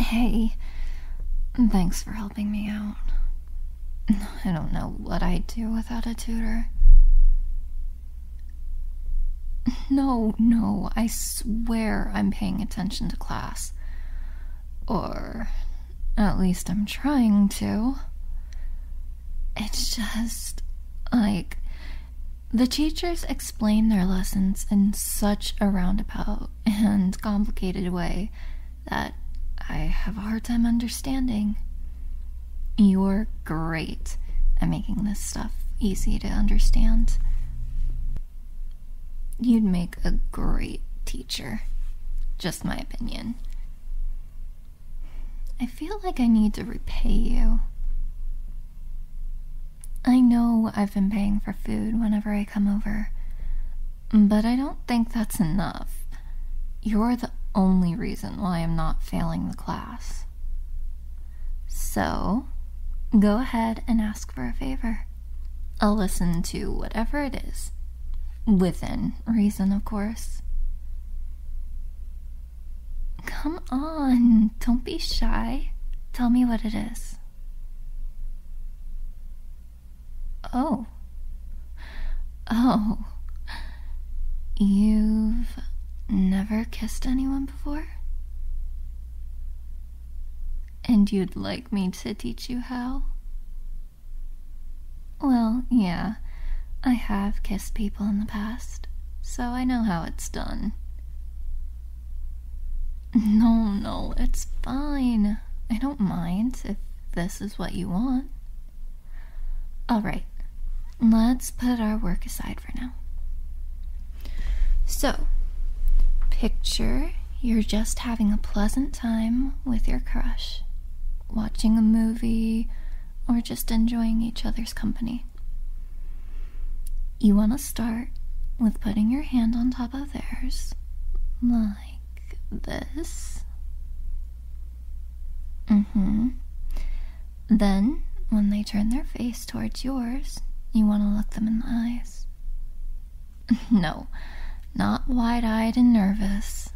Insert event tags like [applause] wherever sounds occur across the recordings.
Hey, thanks for helping me out. I don't know what I'd do without a tutor. No, no, I swear I'm paying attention to class. Or at least I'm trying to. It's just like the teachers explain their lessons in such a roundabout and complicated way that I have a hard time understanding. You're great at making this stuff easy to understand. You'd make a great teacher. Just my opinion. I feel like I need to repay you. I know I've been paying for food whenever I come over, but I don't think that's enough. You're the only reason why I'm not failing the class. So, go ahead and ask for a favor. I'll listen to whatever it is. Within reason, of course. Come on, don't be shy. Tell me what it is. Oh. Oh. You've never kissed anyone before? And you'd like me to teach you how? Well, yeah. I have kissed people in the past, so I know how it's done. No, no, it's fine. I don't mind if this is what you want. Alright, let's put our work aside for now. So, picture you're just having a pleasant time with your crush, watching a movie, or just enjoying each other's company. You want to start with putting your hand on top of theirs, like this. Mm-hmm. Then, when they turn their face towards yours, you want to look them in the eyes. [laughs] no, not wide eyed and nervous.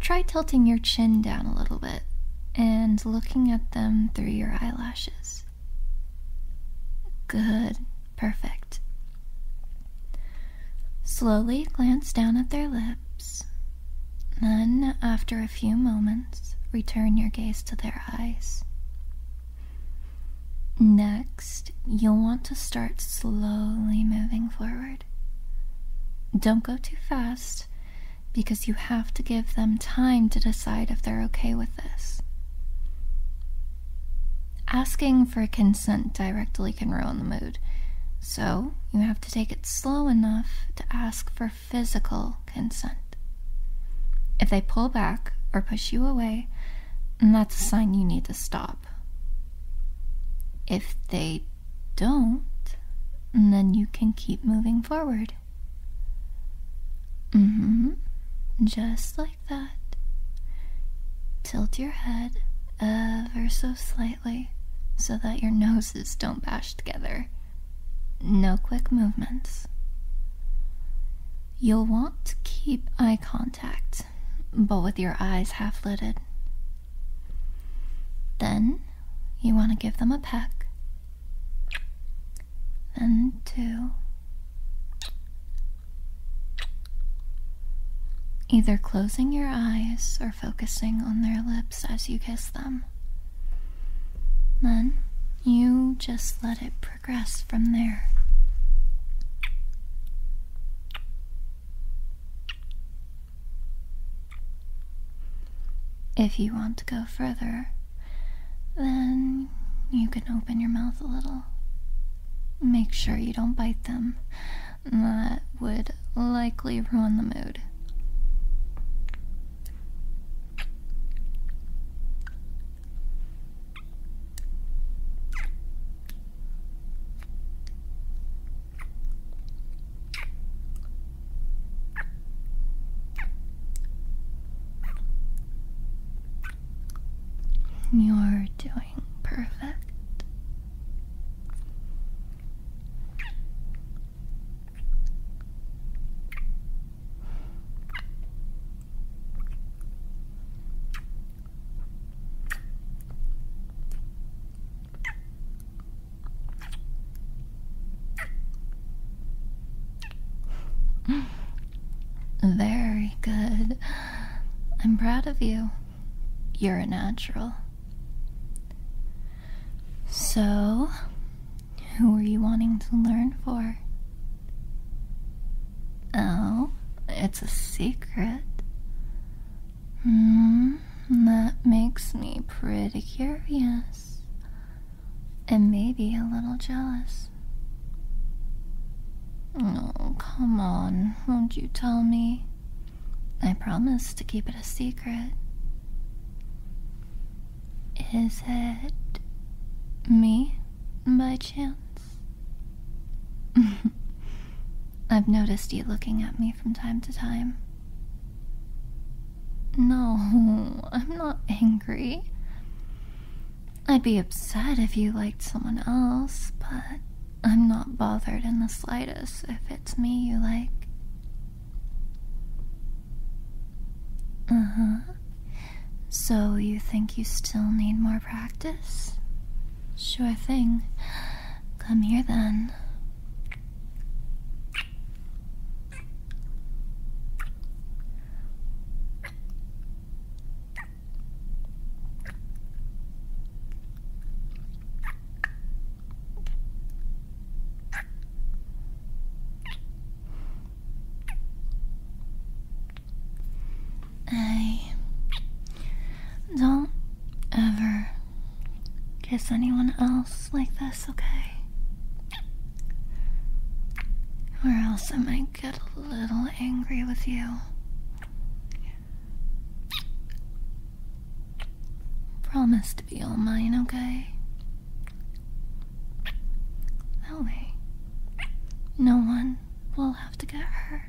Try tilting your chin down a little bit and looking at them through your eyelashes. Good, perfect. Slowly glance down at their lips, then, after a few moments, return your gaze to their eyes. Next, you'll want to start slowly moving forward. Don't go too fast, because you have to give them time to decide if they're okay with this. Asking for consent directly can ruin the mood, so you have to take it slow enough to ask for physical consent. If they pull back or push you away, that's a sign you need to stop. If they don't, then you can keep moving forward. Mm hmm. Just like that. Tilt your head ever so slightly so that your noses don't bash together. No quick movements. You'll want to keep eye contact, but with your eyes half lidded. Then you want to give them a peck, then two. Either closing your eyes or focusing on their lips as you kiss them. Then you just let it progress from there. If you want to go further, then you can open your mouth a little. Make sure you don't bite them. That would likely ruin the mood. You're doing perfect. Very good. I'm proud of you. You're a natural. So, who are you wanting to learn for? Oh, it's a secret. Hmm. Mm-hmm. that makes me pretty curious. And maybe a little jealous. Oh, come on, won't you tell me? I promise to keep it a secret. Is it me, by chance? [laughs] I've noticed you looking at me from time to time. No, [laughs] I'm not angry. I'd be upset if you liked someone else, but I'm not bothered in the slightest if it's me you like. Uh huh. So you think you still need more practice? Sure thing. Come here then. I don't ever kiss anyone else like this, okay? Or else I might get a little angry with you. Promise to be all mine, okay? That way, no one will have to get hurt.